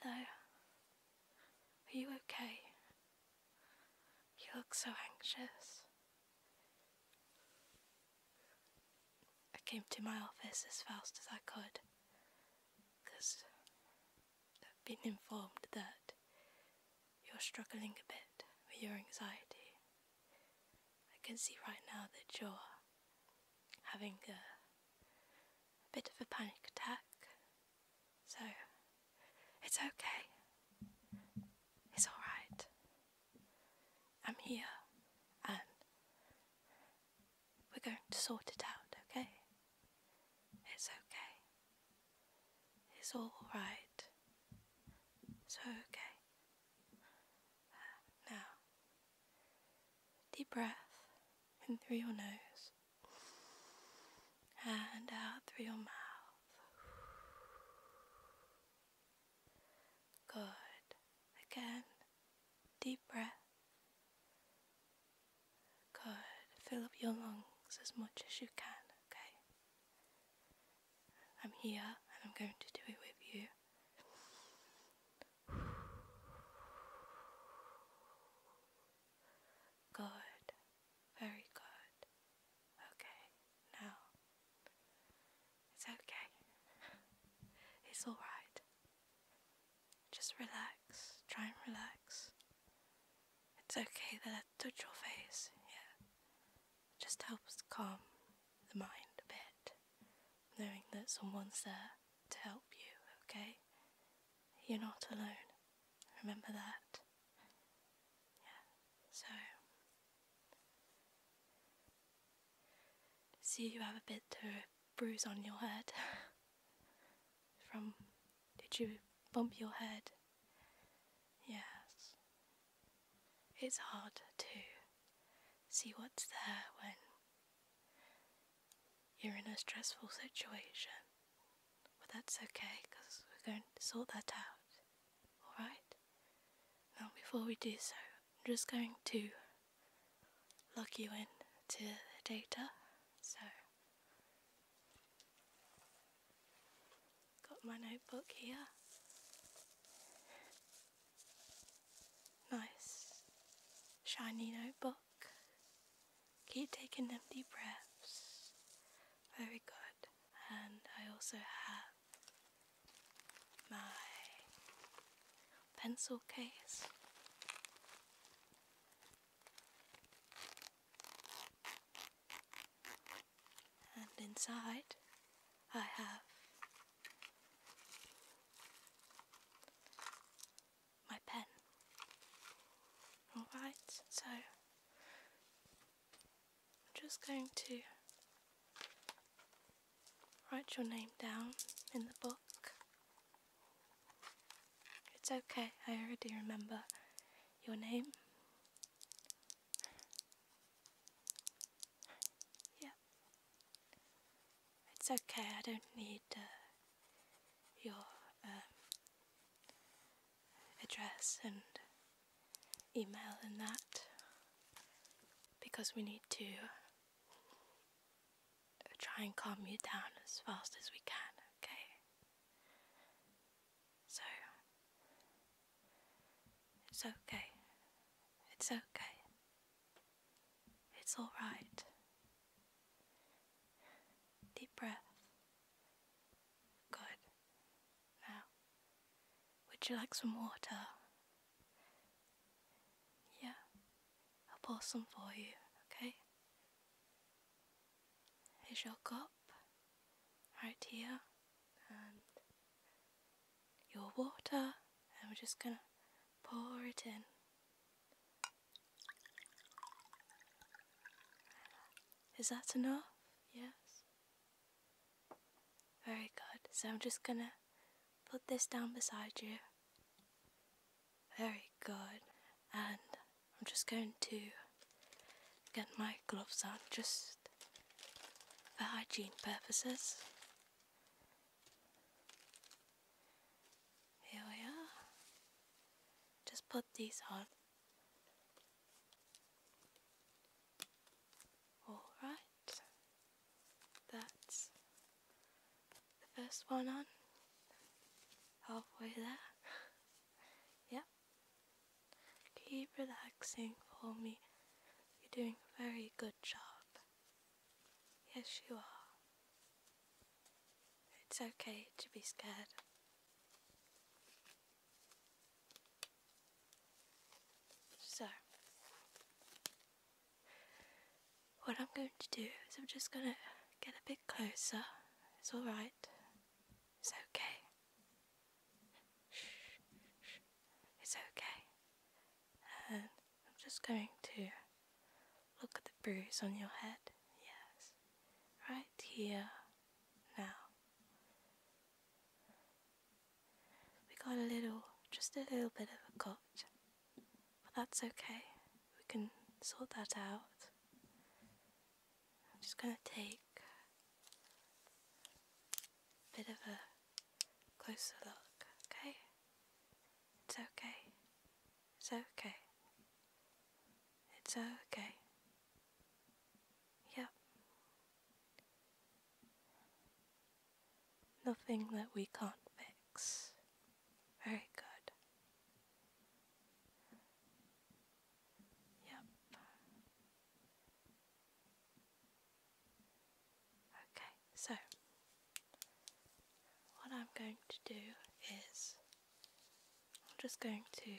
Hello. Are you okay? You look so anxious. I came to my office as fast as I could because I've been informed that you're struggling a bit with your anxiety. I can see right now that you're having a, bit of a panic attack. So, it's okay. It's alright. I'm here and we're going to sort it out, okay? It's okay. It's all right. It's okay. now, Deep breath in through your nose and out through your mouth. Good. Again, deep breath. Good. Fill up your lungs as much as you can, okay? I'm here and I'm going to do it with you. Good. Very good. Okay. Now. It's okay. it's alright. Just relax. Try and relax. It's okay that I touch your face, yeah. It just helps calm the mind a bit knowing that someone's there to help you, okay? You're not alone. Remember that. Yeah, so. See, you have a bit of bruise on your head. From. Did you bump your head? Yes it's hard to see what's there when you're in a stressful situation. But that's okay because we're going to sort that out, alright? Now, before we do so, I'm just going to log you in to the data. So, got my notebook here. Nice shiny notebook. Keep taking empty breaths. Very good. And I also have my pencil case. And inside I have my pen. Alright, so I'm just going to write your name down in the book. It's okay, I already remember your name. Yeah. It's okay, I don't need uh, your um, address and email and that because we need to try and calm you down as fast as we can, okay? So, it's okay. It's okay. It's all right. Deep breath. Good. Now, would you like some water? Yeah, I'll pour some for you, okay? Here's your cup, right here, and your water and we're just going to pour it in. Is that enough? Yes. Very good. So I'm just going to put this down beside you. Very good. And I'm just going to get my gloves on just for hygiene purposes. Here we are. Just put these on. Alright. That's the first one on. Halfway there. yep. Keep relaxing for me. You're doing a very good job. Yes, you are. It's okay to be scared. So, what I'm going to do is I'm just going to get a bit closer. It's alright. It's okay. It's okay. I'm just going to look at the bruise on your head. Yes. Right here. Now. We got a little, just a little bit of a cut. But that's okay. We can sort that out. I'm just going to take bit of a closer look, okay? It's okay. It's okay. It's okay. Yep. Nothing that we can't fix. Very good. Yep. Okay, so what I'm going to do is I'm just going to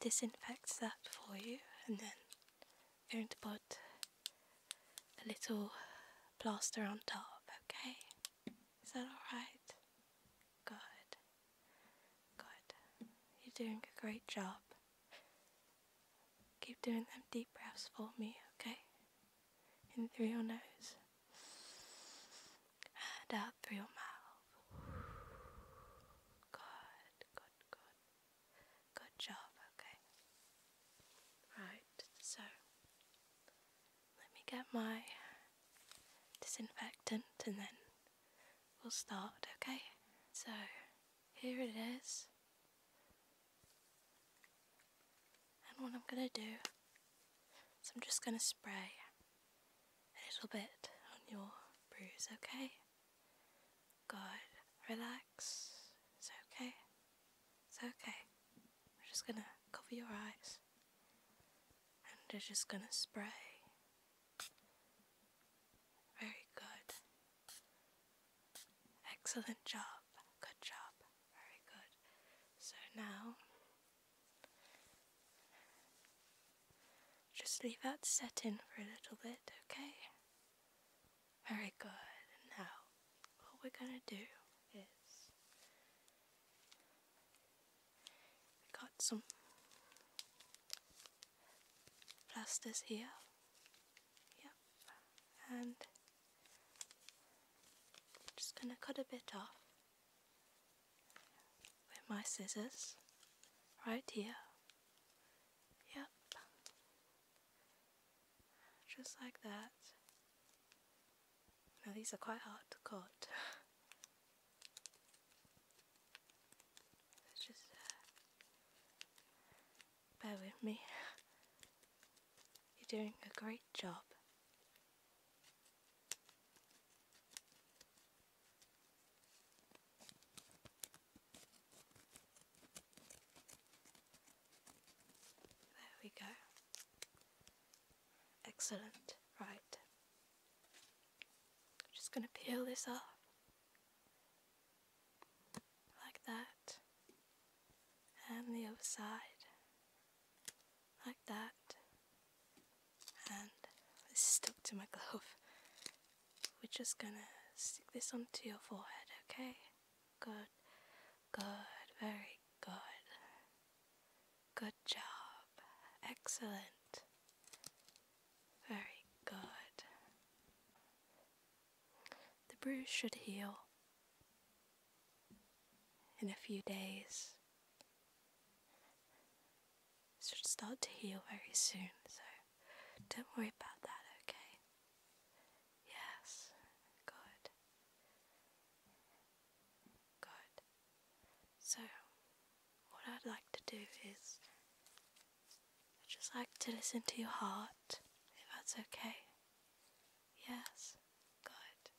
disinfect that for you and then I'm going to put a little plaster on top, okay? Is that alright? Good. Good. You're doing a great job. Keep doing them deep breaths for me, okay? In through your nose and out through your mouth. Good, good, good. Good job, okay? Right, so let me get my disinfectant and then we'll start, okay? So here it is. And what I'm going to do is I'm just going to spray a little bit on your bruise, okay? Good. Relax. It's okay. It's okay. We're just going to cover your eyes. And we're just going to spray. Very good. Excellent job. Good job. Very good. So now, just leave that set in for a little bit, okay? Very good. Now, what we're going to do is we got some plasters here. Yep, and just going to cut a bit off with my scissors right here. Yep, just like that. Now these are quite hard to cut. just uh, Bear with me. You're doing a great job. There we go. Excellent. Right. I'm just going to peel this off like that, and the other side, like that, and this stuck to my glove. We're just gonna stick this onto your forehead, okay? Good, good, very good. Good job, excellent, very good. The bruise should heal in a few days. should start to heal very soon, so don't worry about that, okay? Yes, good. Good. So, what I'd like to do is I'd just like to listen to your heart, if that's okay. Yes, good.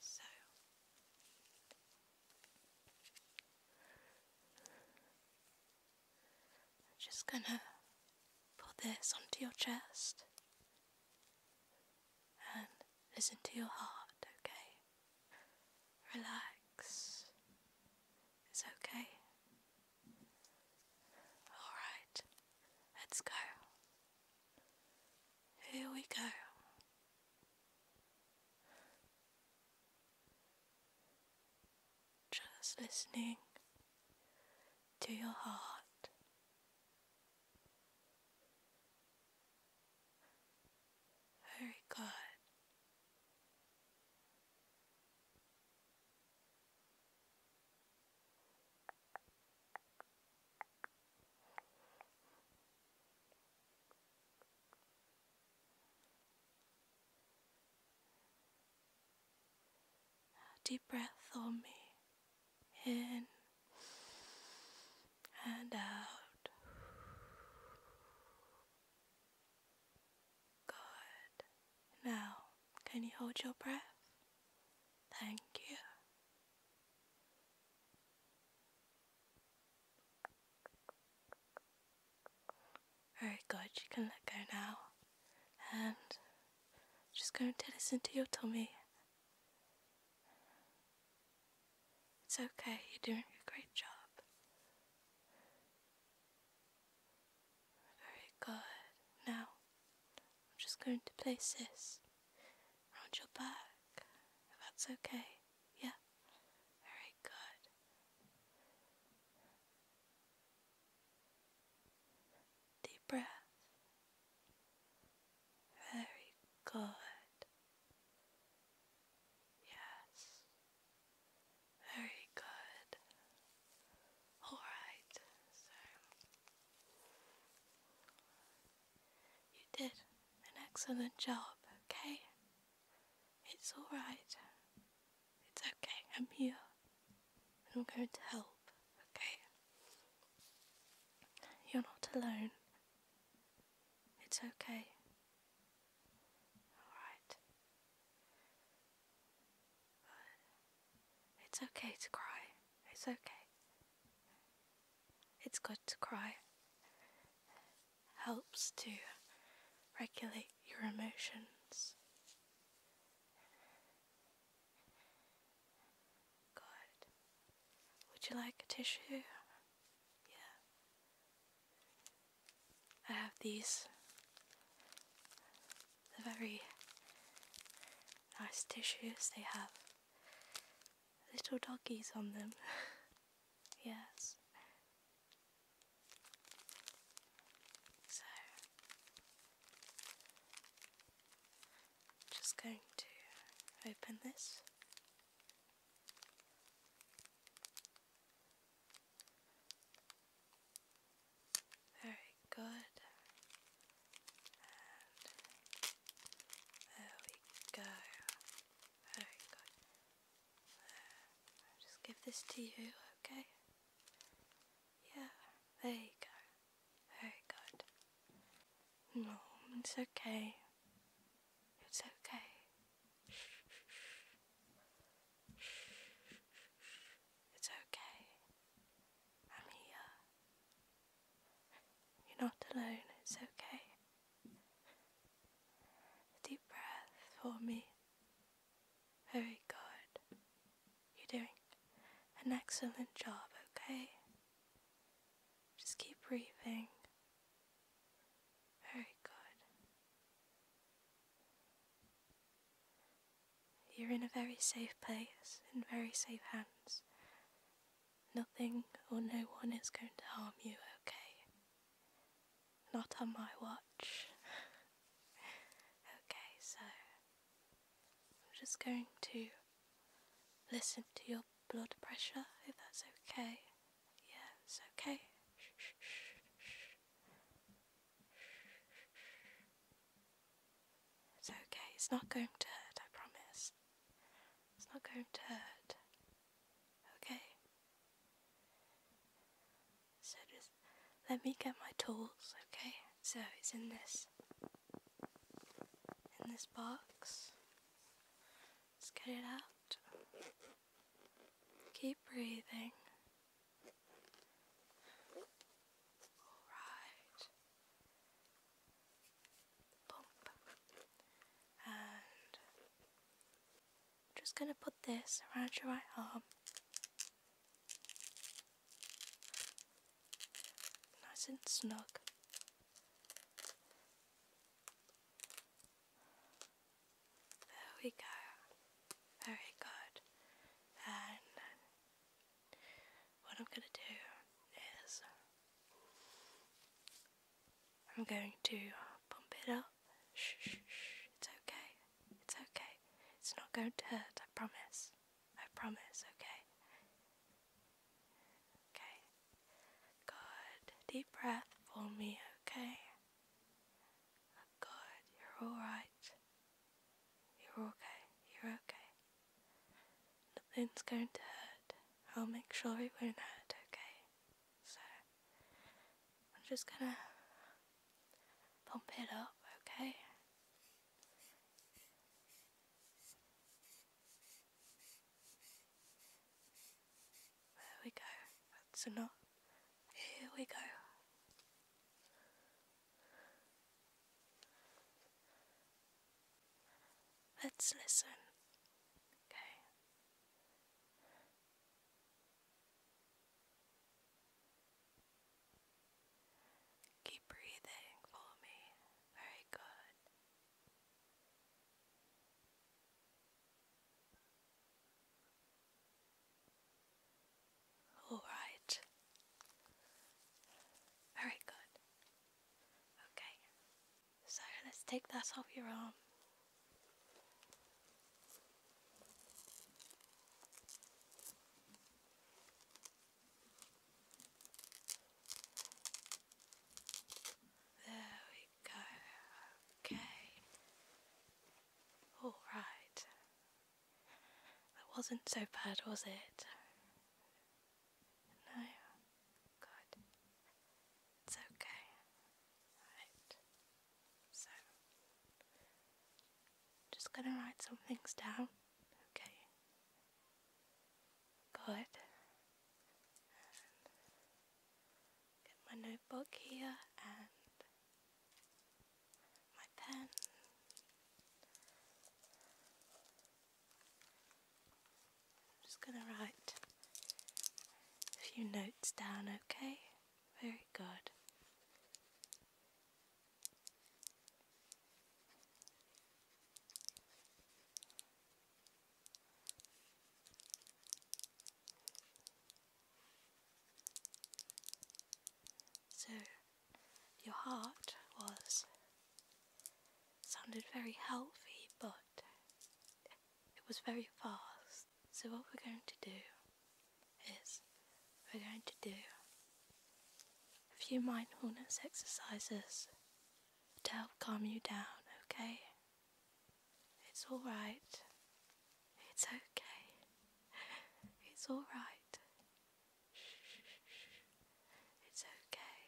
So, I'm just gonna put this onto your chest and listen to your heart, okay? Relax. It's okay. Alright, let's go. Here we go. Just listening to your heart. Very good. Deep breath on me in and out. Good. Now, can you hold your breath? Thank you. Very good, you can let go now. And I'm just going to listen to your tummy. It's okay, you're doing a great job. Very good. Now, I'm just going to place this around your back, if that's okay. Yeah, very good. Deep breath. Very good. Yes. Very good. Alright, you did an excellent job, okay? It's alright. It's okay, I'm here. And I'm going to help, okay? You're not alone. It's okay. Alright. it's okay to cry. It's okay. It's good to cry. Helps to regulate your emotions. Good. Would you like a tissue? Yeah. I have these. They're very nice tissues. They have little doggies on them. yes. So, just going to open this. Very good. there we go. Very good. I'll just give this to you, okay? Yeah, there you go. Very good. No, mm, it's okay. It's okay. It's okay. I'm here. You're not alone. It's okay. Deep breath for me. Very good. You're doing an excellent job, okay? Just keep breathing. Very good. You're in a very safe place, in very safe hands. Nothing or no one is going to harm you, okay? Not on my watch. okay, so I'm just going to listen to your blood pressure if that's okay. Yes, okay. It's okay, it's not going to hurt, I promise. It's not going to hurt. Okay. So just let me get my tools, okay? So it's in this in this box. Let's get it out. Keep breathing. All right. Bump. And I'm just going to put this around your right arm. Nice and snug. There we go. Very good. And what I'm going to do is I'm going to pump it up. Shh, shh, shh. It's okay. It's okay. It's not going to hurt, I promise. I promise, okay? Okay, Good. Deep breath for me, okay? Good. You're alright. You're okay. You're okay. Nothing's going to hurt. I'll make sure it won't hurt, okay? So, I'm just gonna pump it up, okay? There we go. That's enough. Here we go. Let's listen. Okay. Keep breathing for me. Very good. All right. Very good. Okay. So let's take that off your arm. There we Okay. Alright. That wasn't so bad, was it? No? Good. It's okay. Right. So, just gonna write some things down. Okay. Good. Get my notebook here and my pen. I'm just going to write a few notes down, okay? Very good. So your heart was sounded very healthy, but it was very fast. So what we're going to do is we're going to do a few mindfulness exercises to help calm you down, okay? It's alright. It's okay. It's alright. It's okay.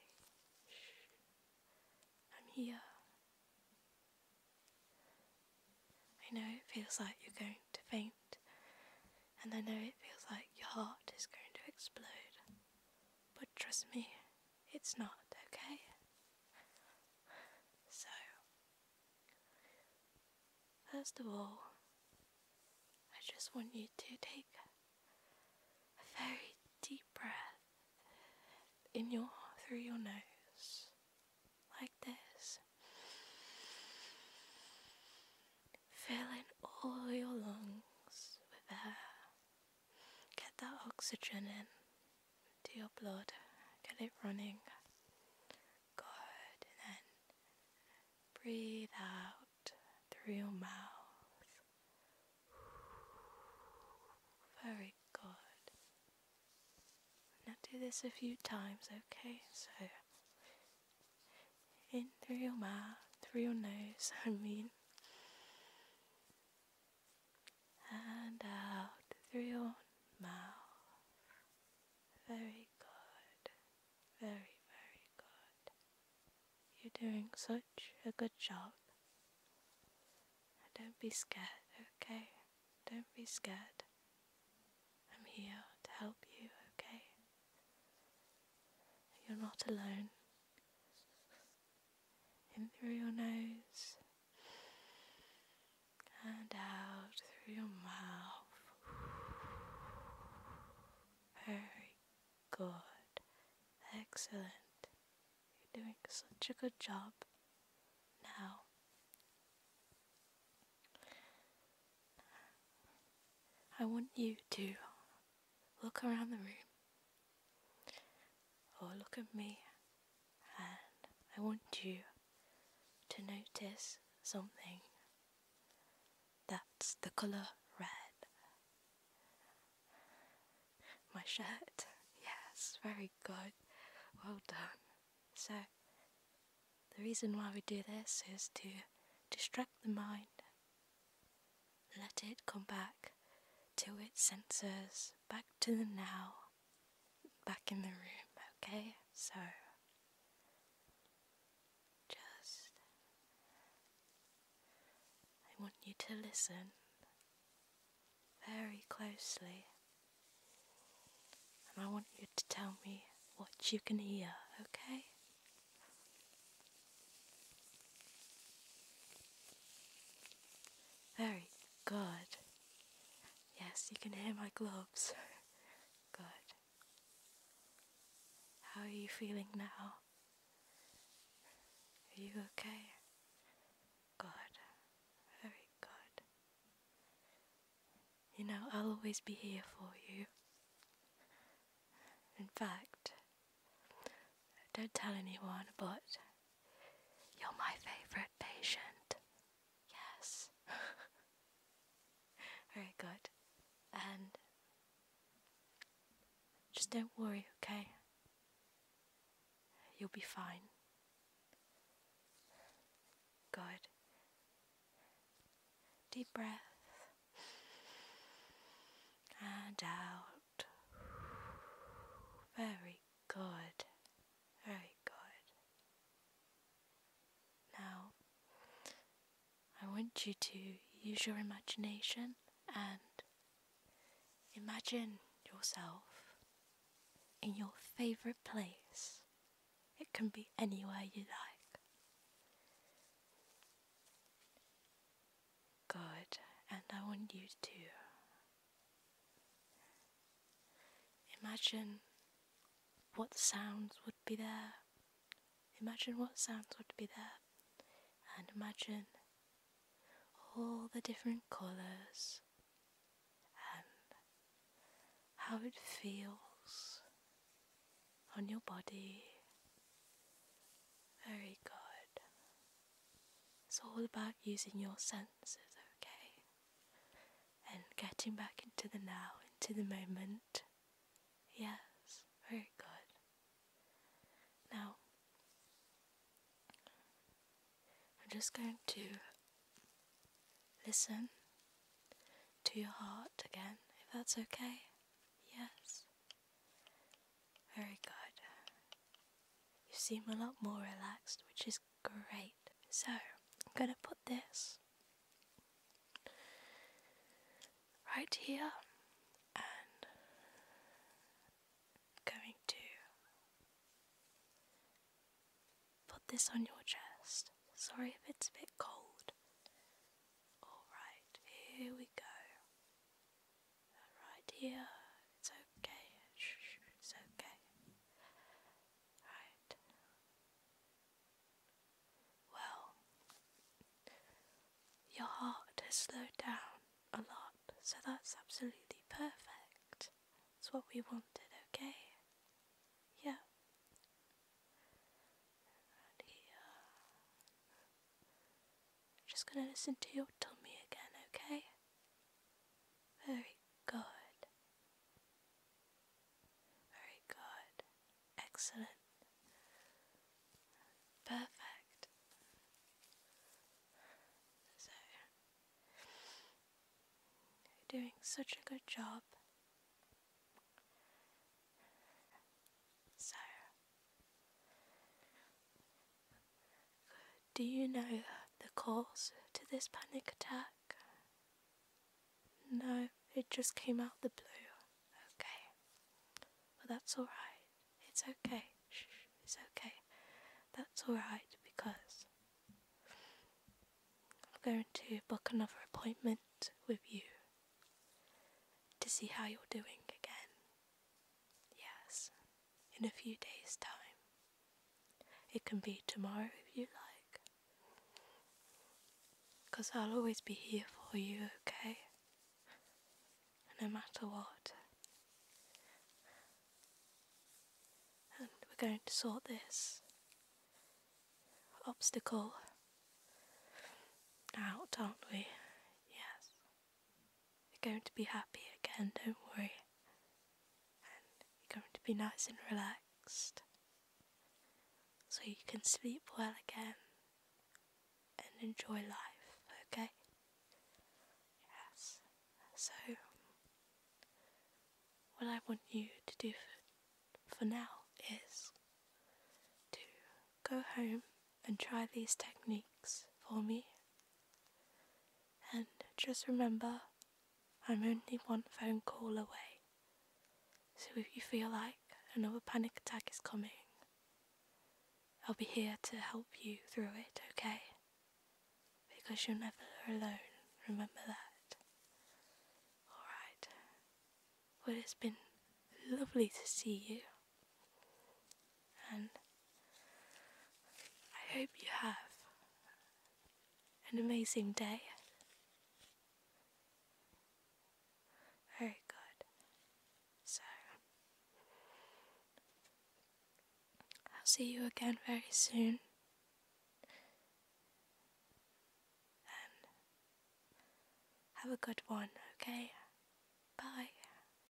I'm here. I know it feels like you're going to faint, and I know it feels like your heart is going to explode, but trust me, it's not, okay? So, first of all, I just want you to take a very deep breath in your through your nose like this fill in all your lungs with air Get that oxygen in to your blood, get it running. Good, then breathe out through your mouth. Very good. Now do this a few times, okay? So, in through your mouth, through your nose, I mean and out through your mouth. Very good. Very, very good. You're doing such a good job. Don't be scared, okay? Don't be scared. I'm here to help you, okay? You're not alone in through your nose and out through your mouth. Very good. Excellent. You're doing such a good job now. I want you to look around the room Oh, look at me, and I want you to notice something that's the colour red. My shirt, yes, very good, well done. So, the reason why we do this is to distract the mind, let it come back to its senses, back to the now, back in the room, okay? So, just, I want you to listen very closely, and I want you to tell me what you can hear, okay? Very good. Yes, you can hear my gloves. good. How are you feeling now? Are you okay? Good. Very good. You know, I'll always be here for you. In fact, don't tell anyone, but you're my favorite patient. Yes. Very good. And just don't worry, okay? You'll be fine. Good. Deep breath. And out. Very Good. Very good. Now, I want you to use your imagination and imagine yourself in your favourite place. It can be anywhere you like. Good. And I want you to Imagine what sounds would be there. Imagine what sounds would be there. And imagine all the different colours and how it feels on your body. Very good. It's all about using your senses, okay? And getting back into the now, into the moment. Yes, very good. Now, I'm just going to listen to your heart again, if that's okay. Yes. Very good. You seem a lot more relaxed, which is great. So, I'm going to put this right here and going to put this on your chest. Sorry if it's a bit cold. Alright, here we go right here, it's okay. it's okay. Right. Well, your heart has slowed down a lot, so that's absolutely perfect. It's what we wanted, okay? Yeah. Right here. I'm just going to listen to your tummy again, okay? Very good. Very good. Excellent. Perfect. So, you're doing such a good job. So, good. Do you know the cause to this panic attack? No, it just came out the blue. Okay. But that's alright. It's okay. it's okay. That's alright because I'm going to book another appointment with you to see how you're doing again. Yes, in a few days' time. It can be tomorrow if you like. Because I'll always be here for you, okay? No matter what. And we're going to sort this obstacle out, aren't we? Yes. You're going to be happy again, don't worry. And you're going to be nice and relaxed. So you can sleep well again and enjoy life, okay? Yes. So, what I want you to do for now is to go home and try these techniques for me. And just remember, I'm only one phone call away. So if you feel like another panic attack is coming, I'll be here to help you through it, okay? Because you're never alone, remember that. Alright. Well, it's been lovely to see you. And I hope you have an amazing day. Very good. So, I'll see you again very soon. And have a good one, okay? Bye.